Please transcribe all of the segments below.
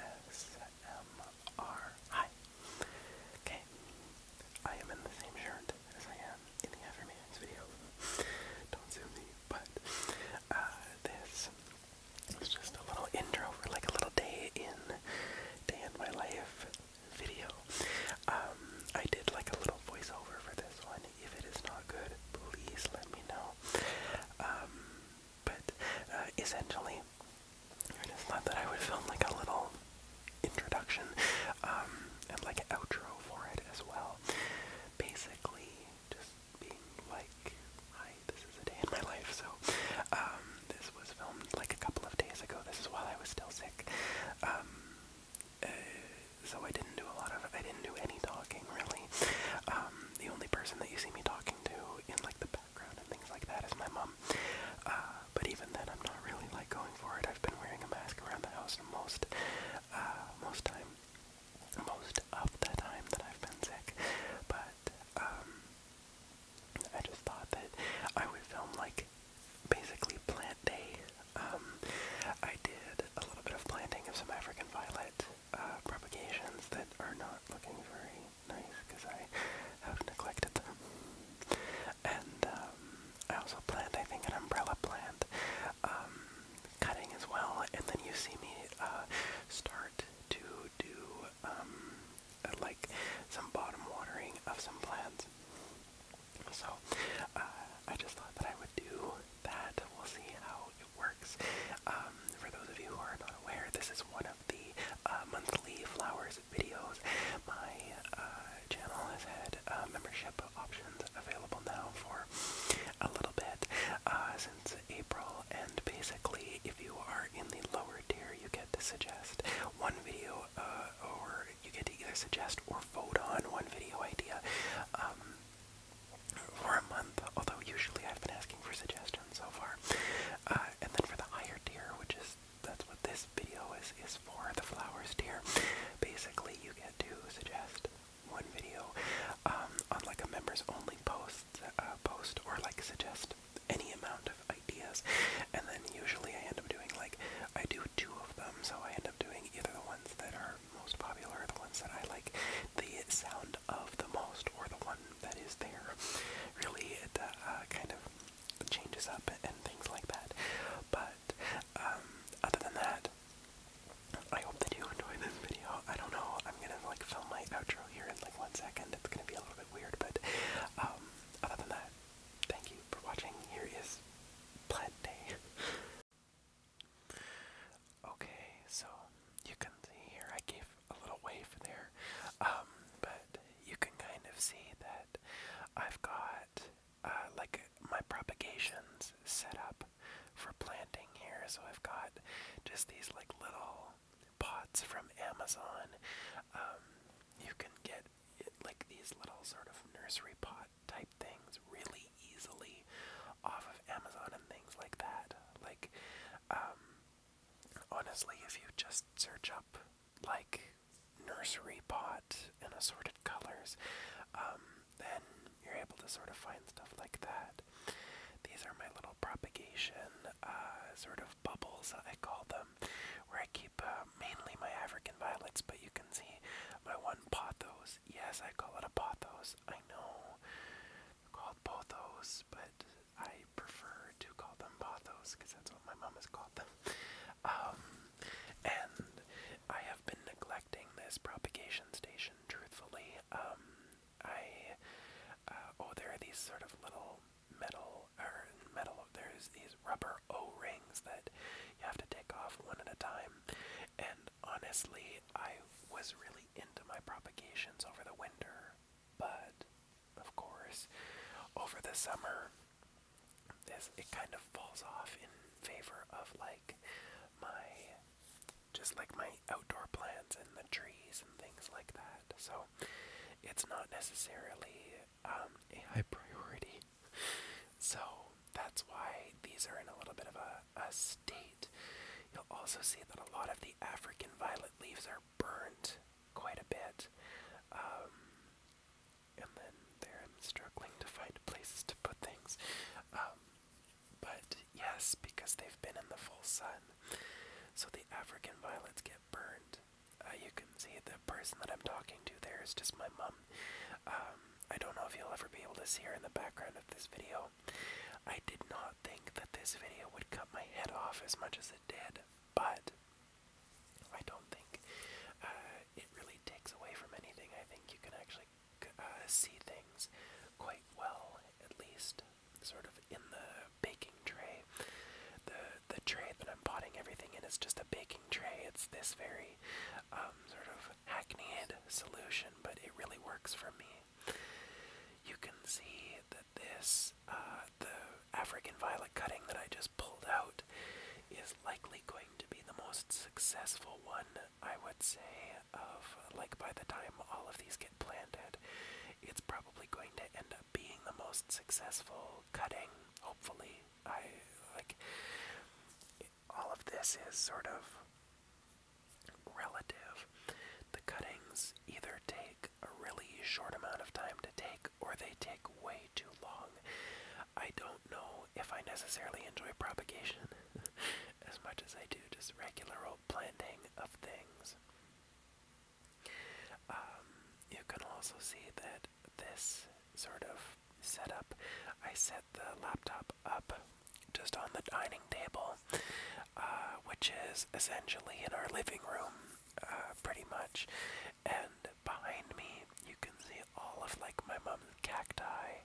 ASMR. Hi. Okay. I am in the same shirt as I am in the Affirmations video. Don't sue me, but uh, this is just a little intro for like a little day in, day in my life video. Um, I did like a little voiceover for this one. If it is not good, please let me know. Um, but uh, essentially, and it's not that I would film like a little introduction um, and like outro for it as well. Basically, just being like, hi, this is a day in my life. So, um, this was filmed like a couple of days ago. This is while I was still sick. Um, uh, so I didn't do a lot of, I didn't do any talking really. the only person that you see me talking talking to in like the background and things like that is my mom. Uh, but even then, I'm not really like going for it. I've been wearing a mask around the house most, uh, most time, most of the time that I've been sick. But um, I just thought that I would film like basically plant day. Um, I did a little bit of planting of some African violet uh, propagations that are not looking very nice because I have neglected them. And um, I also planted, I think, an umbrella plant um, cutting as well. And then you see me uh, start to do um, uh, like some bottom watering of some plants. So I just thought that I would do that. We'll see how works. Um, for those of you who are not aware, this is one of the uh, monthly flowers videos. My uh, channel has had uh, membership options available now for a little bit since April, and basically, if you are in the lower tier, you get to suggest one video, or you get to either suggest or vote on one video idea. Um, for a month, although usually I've been asking for suggestions so far. Uh, and then for the higher tier, which is that's what this video is is for, the flowers tier. Basically, you get to suggest one video um, on like a members only post uh, post or like suggest any amount of ideas. And then usually I end up doing like I do two of them, so I end up doing either the ones that are most popular or the ones that I like the sound of the most, or the one that is there. Really, it uh, kind of changes up and things like that. But um, other than that, I hope that you enjoy this video. I don't know. I'm gonna like film my outro here in like one second. It's gonna be a little bit weird, but um, other than that, thank you for watching. Here is Plant Day. Okay, so you can see here, I gave a little wave there, um, but you can kind of see that I've got uh, like my propagations set up for planting here. So I've got just these like little pots from Amazon. Um, you can get it, like these little sort of nursery pot type things really easily off of Amazon and things like that. Like, um, honestly, if you just search up, like, nursery pot and assorted colors, um, then you're able to sort of find stuff like that. These are my little propagation uh, sort of bubbles, I call them, where I keep uh, mainly my African violets, but you can see my one pothos. Yes, I call it a pothos, I know called pothos, but I prefer to call them pothos because that's what my mom has called them. Um, and I have been neglecting this propagation station, truthfully. Um, I uh, oh, there are these sort of little metal or metal. There's these rubber O-rings that you have to take off one at a time, and honestly, I was really into my propagations over the winter, but of course, over the summer, this it kind of falls off in favor of like my just like my outdoor plants and the trees and things like that. So it's not necessarily um, a high priority. So that's why these are in a little bit of a, a state. You'll also see that a lot of these the African violet leaves are burnt quite a bit. Um, and then there I'm struggling to find places to put things. Um, but yes, because they've been in the full sun. So the African violets get burned. Uh, you can see the person that I'm talking to there is just my mom. Um, I don't know if you'll ever be able to see her in the background of this video. I did not not think that this video would cut my head off as much as it did, but I don't think uh, it really takes away from anything. I think you can actually uh, see things quite well, at least sort of in the baking tray. The the tray that I'm potting everything in is just a baking tray. It's this very um, sort of hackneyed solution, but it really works for me. You can see that this, uh, the African violet cutting that I just pulled out, is likely going to be the most successful one, I would say, of like by the time all of these get planted. It's probably going to end up being the most successful cutting, hopefully. I like all of this is sort of relative. The cuttings either take a really short amount of time to take or they take way too long. I don't know if I necessarily enjoy propagation as much as I do just regular old planting of things. Um, you can also see that this sort of setup, I set the laptop up just on the dining table, uh, which is essentially in our living room, uh, pretty much. And behind me, you can see all of like my mom's cacti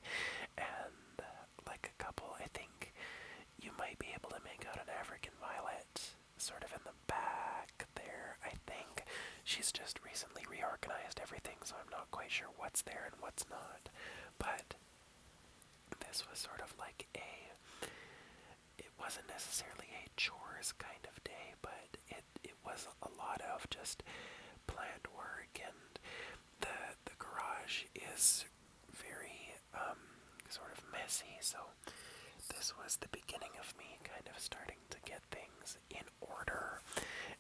and like a couple, I think you might be able to make out an African violet sort of in the back there, I think. She's just recently reorganized everything, so I'm not quite sure what's there and what's not. But this was sort of like a it wasn't necessarily a chores kind of day, but it it was a lot of just planned work and the the garage is very um sort of messy, so this was the beginning of me kind of starting to get things in order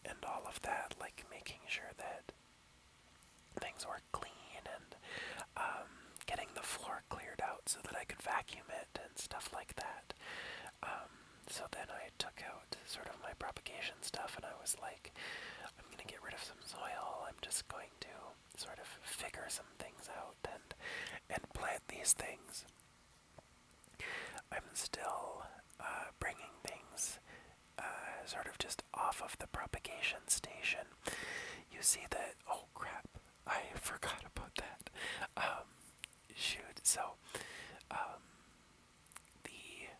and all of that, like making sure that things were clean and um, getting the floor cleared out so that I could vacuum it and stuff like that. Um, so then I took out sort of my propagation stuff and I was like, I'm going to get rid of some soil. I'm just going to sort of figure some things out and and plant these things. I'm still uh, bringing things uh, sort of just off of the propagation station, you see that. Oh crap! I forgot about that. Um, shoot. So, um, the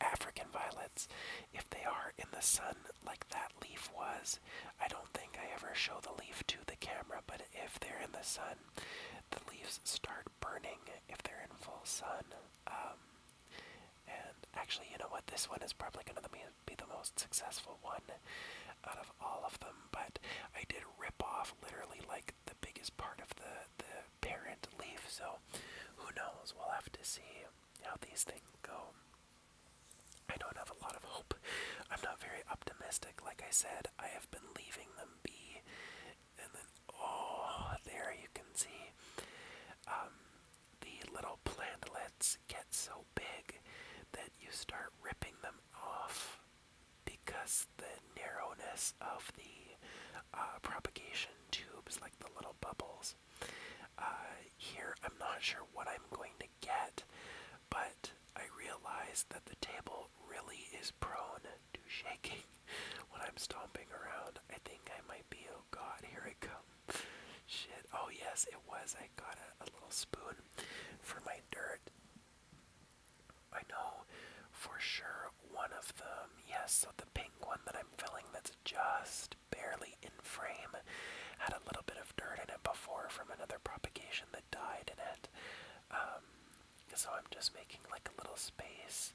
African violets, if they are in the sun like that leaf was, I don't think I ever show the leaf to the camera. But if they're in the sun, the leaves start burning if they're in full sun. Um, and actually, you know what? This one is probably going to be the most successful one out of all of them. But I did rip off literally like the biggest part of the the parent leaf. So who knows? We'll have to see how these things go. I don't have a lot of hope. I'm not very optimistic. Like I said, I have been leaving them be. And then, oh, there you can see. Um, the little plantlets get so big that you start ripping them off because the narrowness of the uh, propagation tubes, like the little bubbles. Uh, here, I'm not sure what I'm going to get, but I realize that the table really is prone to shaking when I'm stomping around. I think I might be, oh god, here it comes. Shit. Oh yes, it was. I got a, little spoon for my dirt. I know for sure one of them. Yes, so the pink one that I'm filling that's just barely in frame had a little bit of dirt in it before from another propagation that died in it. Um, so I'm just making like a little space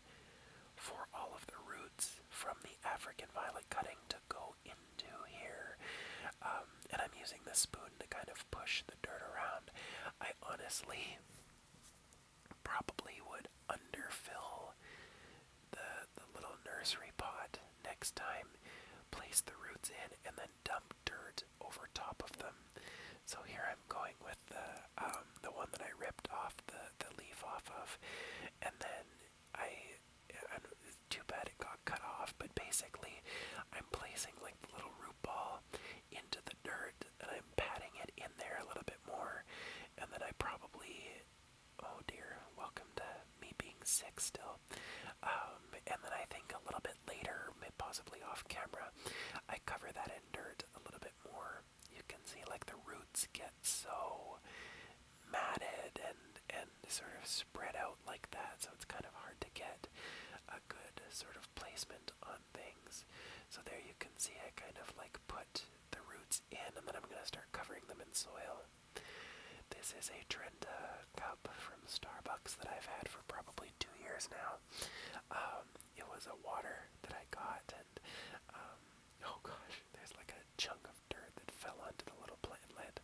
for all of the roots from the African violet cutting to go into here. Um, and I'm using this spoon to kind of push the dirt around. I honestly probably would underfill the, the little nursery pot next time, place the roots in, and then dump dirt over top of them. So here I'm going with the um, the one that I ripped off the the leaf off of, and then I too bad it got cut off, but basically, I'm placing like the little root ball into the dirt and I'm patting it in there a little bit more, and then I probably. Oh dear, welcome to me being sick still. Um, and then I think a little bit later, possibly off camera, I cover that in dirt a little bit more. You can see like the roots get so matted and and sort of spread out like that, so it's kind of hard to get a good sort of placement on things. So there you can see I kind of like put the roots in, and then I'm going to start covering them in soil. This is a Trenta cup from Starbucks that I've had for probably two years now. Um, it was a water that I got, and um, oh gosh, there's like a chunk of dirt that fell onto the little plantlet.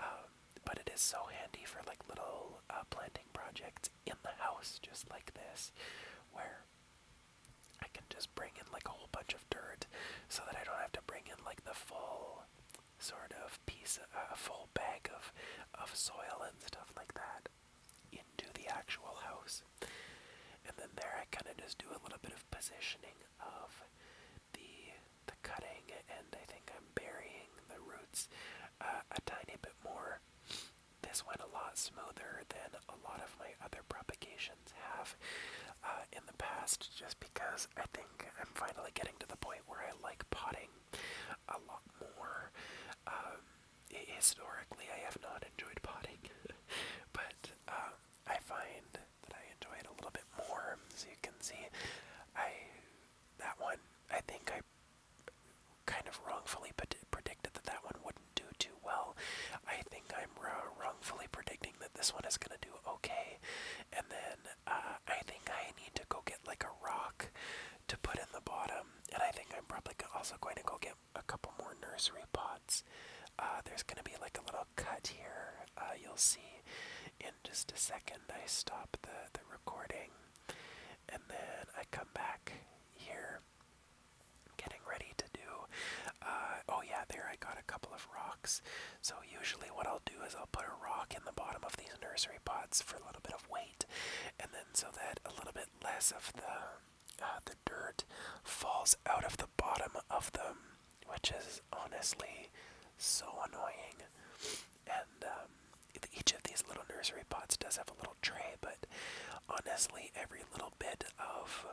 Um, but it is so handy for like little uh, planting projects in the house, just like this, where I can just bring in like a whole bunch of dirt so that I don't have to bring in like the full sort of piece, a uh, full bag of, of soil and stuff like that into the actual house. And then there I kind of just do a little bit of positioning of the the cutting, and I think I'm burying the roots uh, a tiny bit more. This went a lot smoother than a lot of my other propagations have uh, in the past, just because I think I'm finally getting to the point where I like potting a lot more. Um, historically, I have not enjoyed potting, but uh, I find that I enjoyed a little bit more. As you can see, I that one I think I kind of wrongfully predicted that that one wouldn't do too well. I think I'm wrongfully predicting that this one is gonna do okay, and then uh, I think I need to go get like a rock to put in the bottom, and I think I'm probably also going to go get a couple more nursery pots uh, there's gonna be like a little cut here. Uh, you'll see in just a second. I stop the the recording, and then I come back here, getting ready to do. Uh, oh yeah, there I got a couple of rocks. So usually what I'll do is I'll put a rock in the bottom of these nursery pots for a little bit of weight, and then so that a little bit less of the the dirt falls out of the bottom of them which is honestly so annoying. And um, each of these little nursery pots does have a little tray, but honestly, every little bit of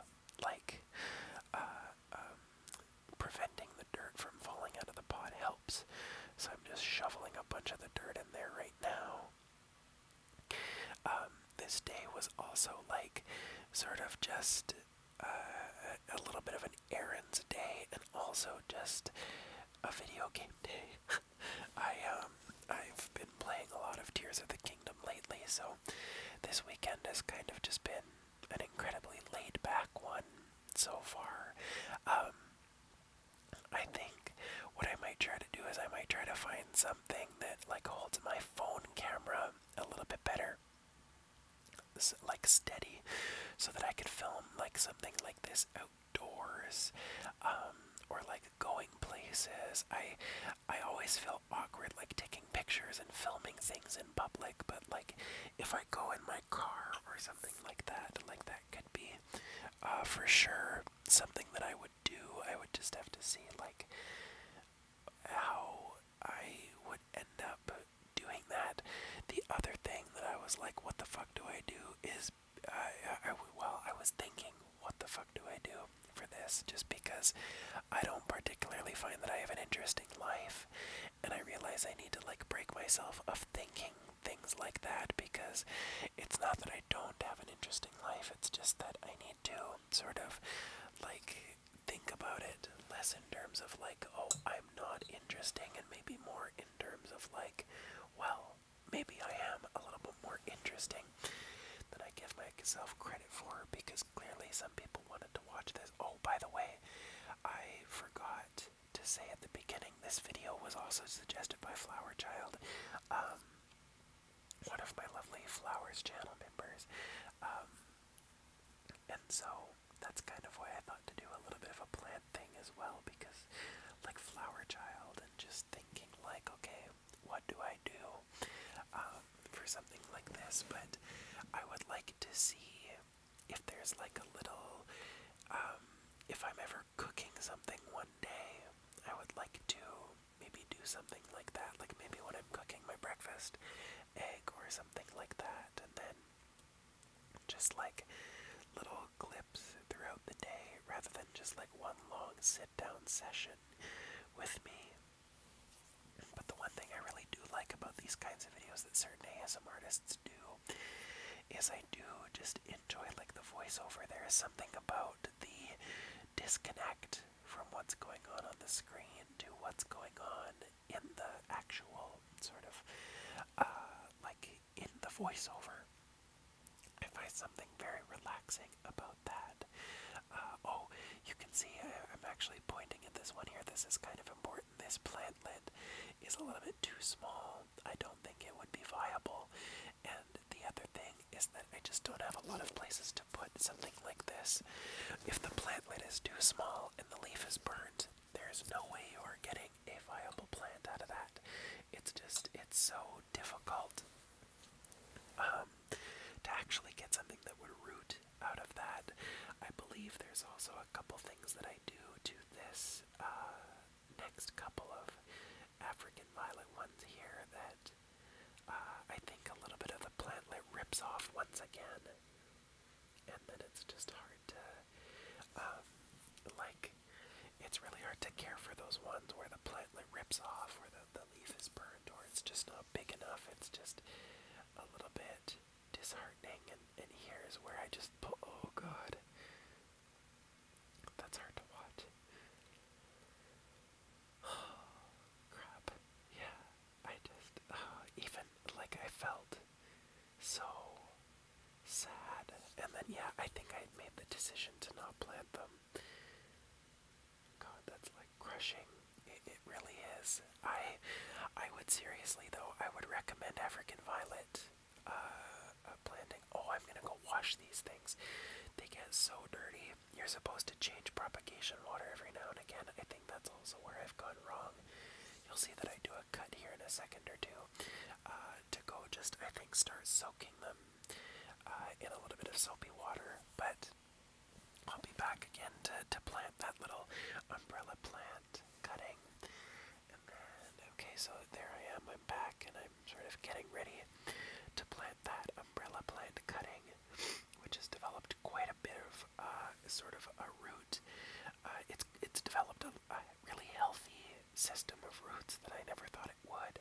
like uh, um, preventing the dirt from falling out of the pot helps. So I'm just shoveling a bunch of the dirt in there right now. Um, this day was also like sort of just uh, a little bit of an errands day and also just a video game day. I um I've been playing a lot of Tears of the Kingdom lately, so this weekend has kind of just been an incredibly laid back one so far. Um, I think what I might try to do is I might try to find something that like holds my phone camera a little bit better like steady so that I could film like something like this outdoors um, or like going places. I I always feel awkward like taking pictures and filming things in public, but like if I go in my car or something like that, like that could be uh, for sure something that I would do. I would just have to see like how I would end up doing that. The other thing that I was like, what the fuck do I do? Is I, I well, I was thinking, what the fuck do I do for this? Just because I don't particularly find that I have an interesting life, and I realize I need to like break myself of thinking things like that because it's not that I don't have an interesting life. It's just that I need to sort of like think about it less in terms of like, oh, I'm not interesting, and maybe more in terms of like, well, maybe I am a little bit more interesting than I give myself credit for because clearly some people wanted to watch this. Oh, by the way, I forgot to say at the beginning this video was also suggested by Flower Child. Um, one of my lovely Flowers channel members. Um, and so that's kind of why I thought to do a little bit of a plant thing as well because like Flower Child and just thinking like, okay, what do I do um, for something like this? But I would like to see if there's like a little, um, if I'm ever cooking something one day, I would like to maybe do something like that. Like maybe when I'm cooking my breakfast, egg or something like that, and then just like little clips throughout the day rather than just like one long sit down session with me. But the one thing I really do like about these kinds of videos that certain ASM artists do is I do just enjoy like the voiceover. There is something about the disconnect from what's going on on the screen to what's going on in the actual sort of uh, like in the voiceover. I find something very relaxing about that. Uh, oh, you can see I, I'm actually pointing at this one here. This is kind of important. This plantlet is a little bit too small. I don't think it would be viable. And the other thing is that I just don't have a lot of places to put something like this. If the plantlet is too small and the leaf is burnt, there's no way you are getting a viable plant out of that. It's just, it's so difficult um, to actually get something that would root out of that. I believe there's also a couple things that I do to this uh, next couple of African violet ones here that uh, I think a little bit of the plantlet rips off once again and then it's just hard to, um, like, it's really hard to care for those ones where the plantlet rips off, where the, the leaf is burnt, or it's just not big enough. It's just a little bit disheartening, and, and here's where I just, oh god, that's hard to watch. crap. Yeah, I just, uh, even like I felt so sad. And then, yeah, I think I made the decision to not plant them. God, that's like crushing. It, really is. I, I would seriously though, I would recommend African violet uh, uh, planting. Oh, I'm gonna go wash these things. They get so dirty. You're supposed to change propagation water every now and again. I think that's also where I've gone wrong. You'll see that I do a cut here in a second or two uh, to go just, I think, start soaking them uh, in a little bit of soapy water. But I'll be back again to, to plant that little umbrella plant cutting. okay, so there I am. I'm back and I'm sort of getting ready to plant that umbrella plant cutting, which is developed developed quite a bit of uh, sort of a root. Uh, it's it's developed a, a really healthy system of roots that I never thought it would.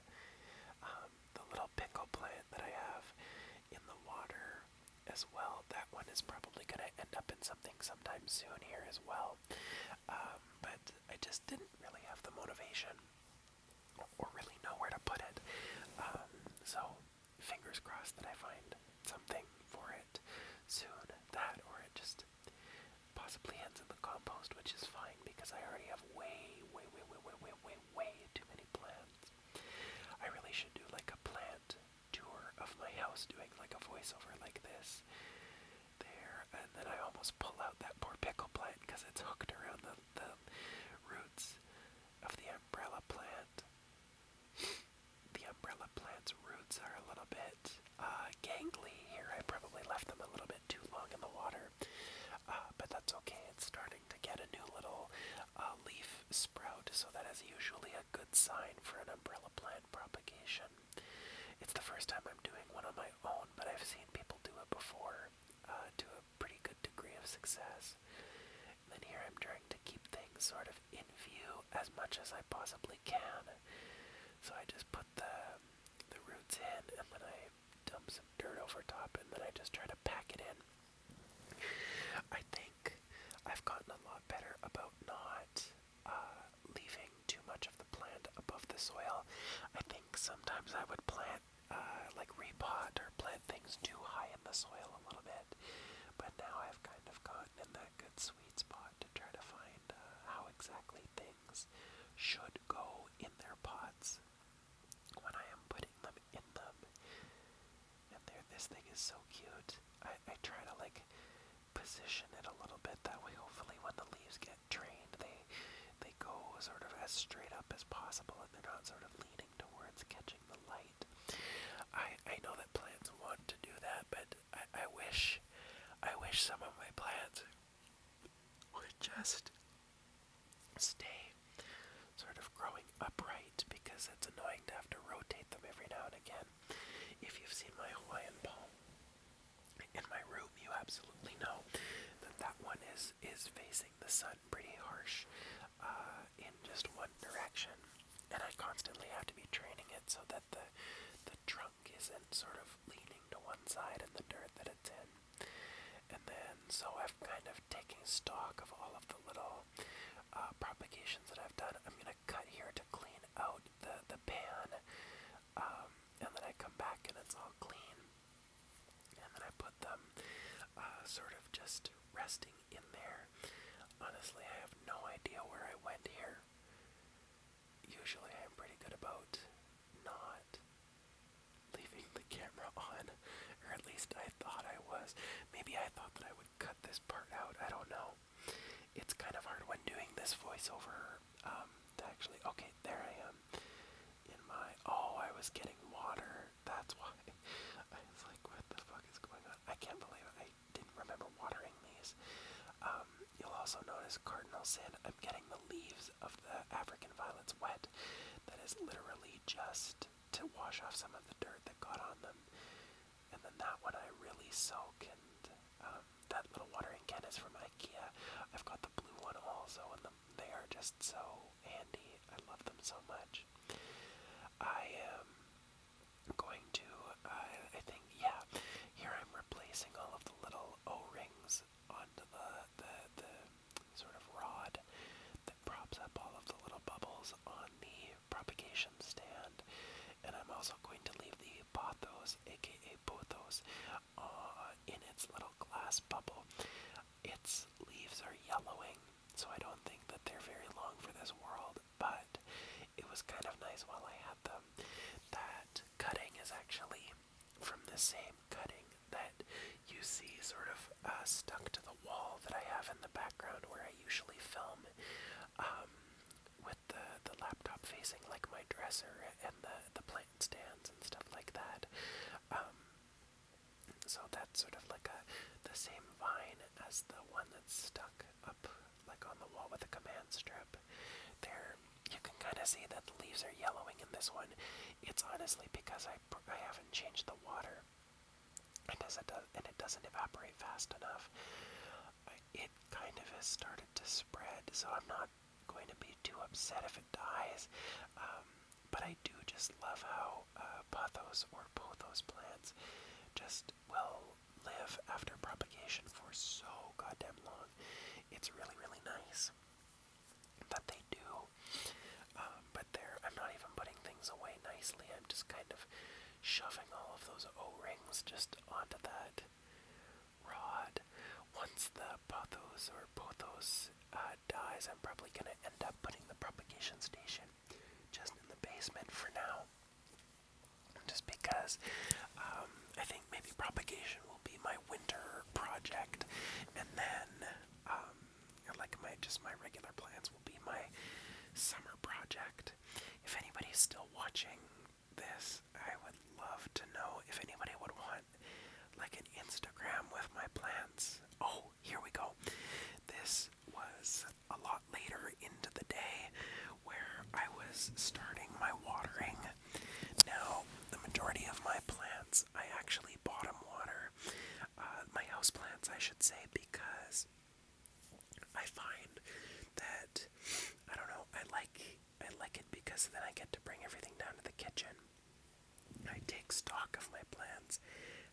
Um, the little pickle plant that I have in the water as well. That one is probably going to end up in something sometime soon here as well. Um, but I just didn't really have the motivation or really know where to put it. Um, so fingers crossed that I find something for it soon. That or it just possibly ends in the compost, which is fine because I already have way, way, way, way, way, way, way, too many plants. I really should do like a plant tour of my house doing like a voiceover like this. There, and then I almost pull out that poor pickle plant because it's hooked around the, the roots of the umbrella plant. The umbrella plant's roots are a little bit uh, gangly here. I probably left them a little bit too long in the water, uh, but that's okay. It's starting to get a new little uh, leaf sprout, so that is usually a good sign for an umbrella plant propagation. It's the first time I'm doing one on my own, but I've seen people do it before uh, to a pretty good degree of success and here I'm trying to keep things sort of in view as much as I possibly can. So I just put the the roots in and then I dump some dirt over top and then I just try to pack it in. I think I've gotten a lot better about not uh, leaving too much of the plant above the soil. I think sometimes I would plant, uh, like repot or plant things too high in the soil a little bit bit. But now I've kind of gotten in that good sweet spot to try to find uh, how exactly things should go in their pots when I am putting them in them. And there, this thing is so cute. I, I try to like position it a little bit that way. Hopefully, when the leaves get trained, they they go sort of as straight up as possible, and they're not sort of leaning towards catching the light. I I know that plants want to do that, but I, I wish I wish some of my plants would just stay sort of growing upright because it's annoying to have to rotate them every now and again. If you've seen my Hawaiian palm in my room, you absolutely know that that one is is facing the sun cut pretty harsh uh, in just one direction, and I constantly have to be training it so that the the trunk isn't sort of leaning to one side in the dirt that it's in. And then, so I've kind of taken stock of all of the little uh, propagations that I've done. I'm gonna cut here to clean out the the pan, um, and then I come back and it's all clean. And then I put them. Uh, sort of just resting in there. Honestly, I have no idea where I went here. Usually, I'm pretty good about not leaving the camera on, or at least I thought I was. Maybe I thought that I would cut this part out, I don't know. It's kind of hard when doing this voiceover um, actually. Okay, there I am. In my. Oh, I was getting water. That's why. I was like, what the fuck is going on? I can't believe I didn't remember watering these. Um, you'll also notice cardinal sin. I'm getting the leaves of the African violets wet. That is literally just to wash off some of the dirt that got on them. And then that one I really soak. And um, that little watering can is from IKEA. I've got the blue one also, and they are just so handy. I love them so much. I am going to, uh, I think, yeah, here I'm replacing all of the little O-rings onto the, the, the sort of rod that props up all of the little bubbles on the propagation stand. And I'm also going to leave the pothos, aka pothos, uh, in its little glass bubble. Its leaves are yellowing so I don't think that they're very long for this world, but it was kind of nice while I had them. That cutting is actually from the same cutting that you see sort of uh, stuck to the wall that I have in the background where I usually film um, with the, the laptop facing like my dresser and the, the plant stands and stuff like that. Um, so that's sort of like a the same vine as the one that's stuck up like on the wall with a command strip. There you can kind of see that the leaves are yellowing in this one. It's honestly because I I haven't changed the water. And it does, uh, and it doesn't evaporate fast enough. It kind of has started to spread, so I'm not going to be too upset if it dies. Um, but I I do just love how uh, pathos or pothos plants just will live after propagation for so goddamn long. It's really, really nice that they do. Um, but there, I'm not even putting things away nicely. I'm just kind of shoving all of those O-rings just onto that rod. Once the pathos or pothos uh, dies, I'm probably going to end up putting the propagation station just in the basement for now. Just because um, I think maybe propagation will be my winter project, and then um, like my just my regular plants will be my summer project. If anybody's still watching this, I would love to know if anybody would want like an Instagram with my plants. Oh, here we go. This was a lot later into the day where I was starting my watering. Now, the majority of my plants I actually bottom water, uh, my house plants, I should say, because I find that I don't know. I like I like it because then I get to bring everything down to the kitchen. I take stock of my plants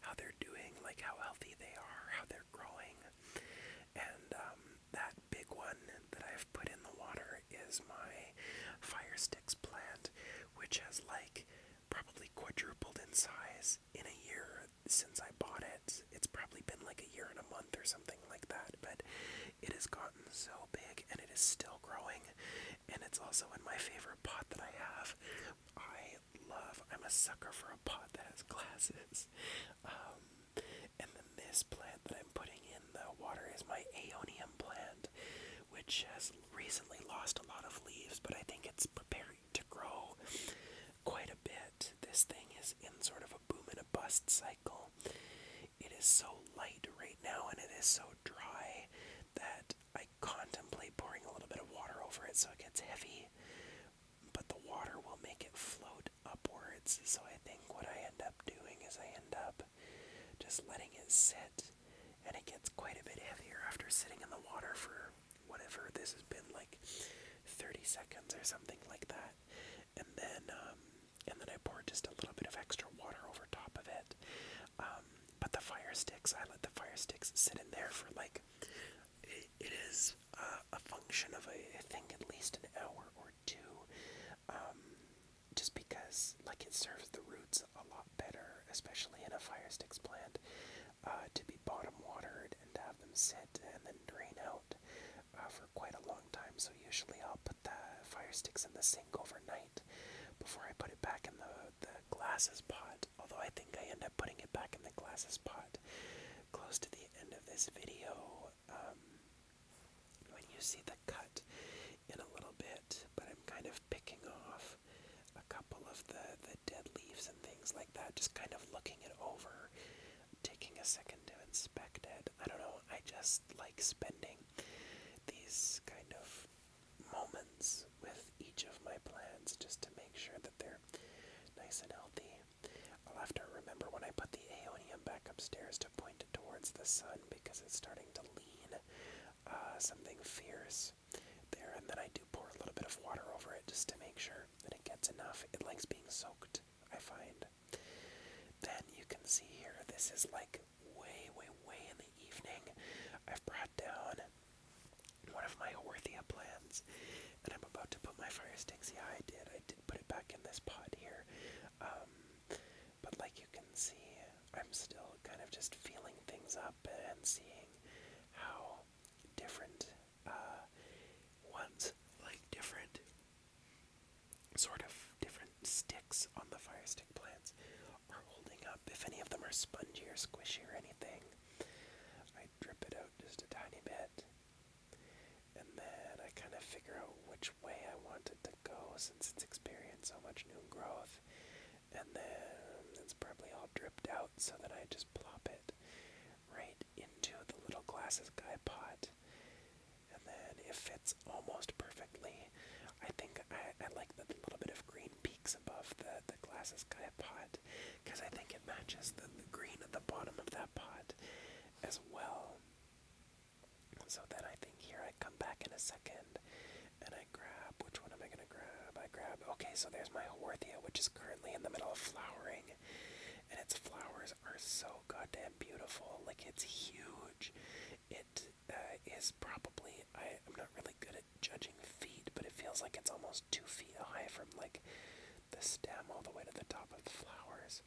how they're doing, like how healthy they are, how they're growing. And um, that big one that I've put in the water is my fire sticks plant, which has like probably quadrupled in size in a year since I bought it. It's probably been like a year and a month or something like that, but it has gotten so big and it is still growing. And it's also in my favorite pot that I have. I I love. I'm a sucker for a pot that has glasses. Um, and then this plant that I'm putting in the water is my Aeonium plant, which has recently lost a lot of leaves, but I think it's preparing to grow quite a bit. This thing is in sort of a boom and a bust cycle. It is so light right now and it is so dry that I contemplate pouring a little bit of water over it so it gets heavy, but the water will make it float upwards. So I think what I end up doing is I end up just letting it sit, and it gets quite a bit heavier after sitting in the water for whatever this has been like 30 seconds or something like that. And then, um, and then I pour just a little bit of extra water over top of it. Um, but the fire sticks, I let the fire sticks sit in there for like it, it is uh, a function of, a, I think, at least an hour or two. Um, just because, like, it serves the roots a lot better, especially in a fire sticks plant, uh, to be bottom watered and have them sit and then drain out uh, for quite a long time. So usually I'll put the fire sticks in the sink overnight before I put it back in the the glasses pot although I think I end up putting it back in the glasses pot close to the end of this video um, when you see the cut in a little bit, but I'm kind of picking off a couple of the, the dead leaves and things like that, just kind of looking it over, taking a second to inspect it. I don't know, I just like spending these kind of moments with each of my plants just to make sure that they're Nice and healthy. I'll have to remember when I put the Aeonium back upstairs to point towards the sun because it's starting to lean uh, something fierce there. And then I do pour a little bit of water over it just to make sure that it gets enough. It likes being soaked, I find. Then you can see here, this is like way, way, way in the evening. I've brought down one of my Orthia plants, and I'm about to put my fire sticks. Yeah, I did. I did put it back in this pot here. Um, but like you can see, I'm still kind of just feeling things up and seeing how different uh, ones, like different sort of different sticks on the fire stick plants, are holding up. If any of them are spongy or squishy or anything, I drip it out just a tiny bit. And then I kind of figure out which way I want it to go since it's experienced so much new growth. And then it's probably all dripped out, so then I just plop it right into the little glasses guy pot. And then it fits almost perfectly. I think I, I like the little bit of green peaks above the, the glasses kind of pot because I think it matches the, the green at the bottom of that pot as well. So then I think here I come back in a second and I grab, which one am I going to grab? I grab, okay, so there's my Horthia, which is currently in the middle of flowering. And its flowers are so goddamn beautiful. Like, it's huge. It uh, is probably, I, I'm not really good at judging feet, but it feels like it's almost two feet high from like the stem all the way to the top of the flowers.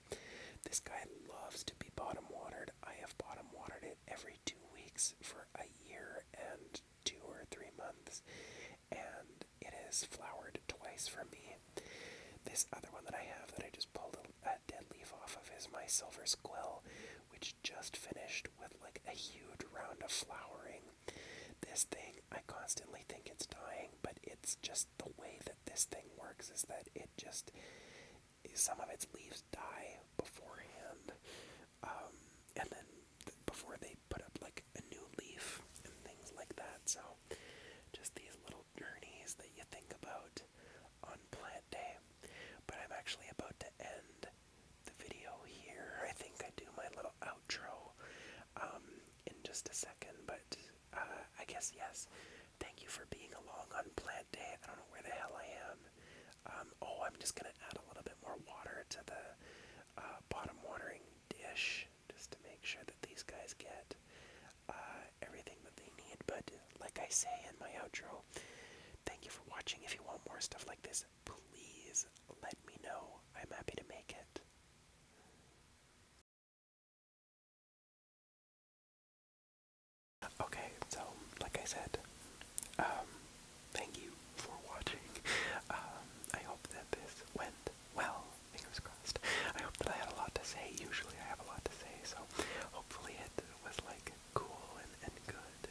This guy loves to be bottom watered. I have bottom watered it every two weeks for a year and two or three months, and it has flowered twice for me. This other one that I have that I just pulled a dead leaf off of is my silver squill, which just finished with like a huge round of flowering this thing, I constantly think it's dying, but it's just the way that this thing works is that it just some of its leaves die beforehand, um, and then before they put up like a new leaf and things like that. So, just these little journeys that you think about on plant day. But I'm actually about to end the video here. I think I do my little outro um, in just a second, but uh, I guess yes. Thank you for being along on Plant Day. I don't know where the hell I am. Um, oh, I'm just gonna add a little bit more water to the uh, bottom watering dish just to make sure that these guys get uh, everything that they need. But like I say in my outro, thank you for watching. If you want more stuff like this, please let me know. I'm happy to make it. Okay, so like I said, um, thank you for watching. Um, I hope that this went well. Fingers crossed. I hope that I had a lot to say. Usually I have a lot to say, so hopefully it was like cool and, and good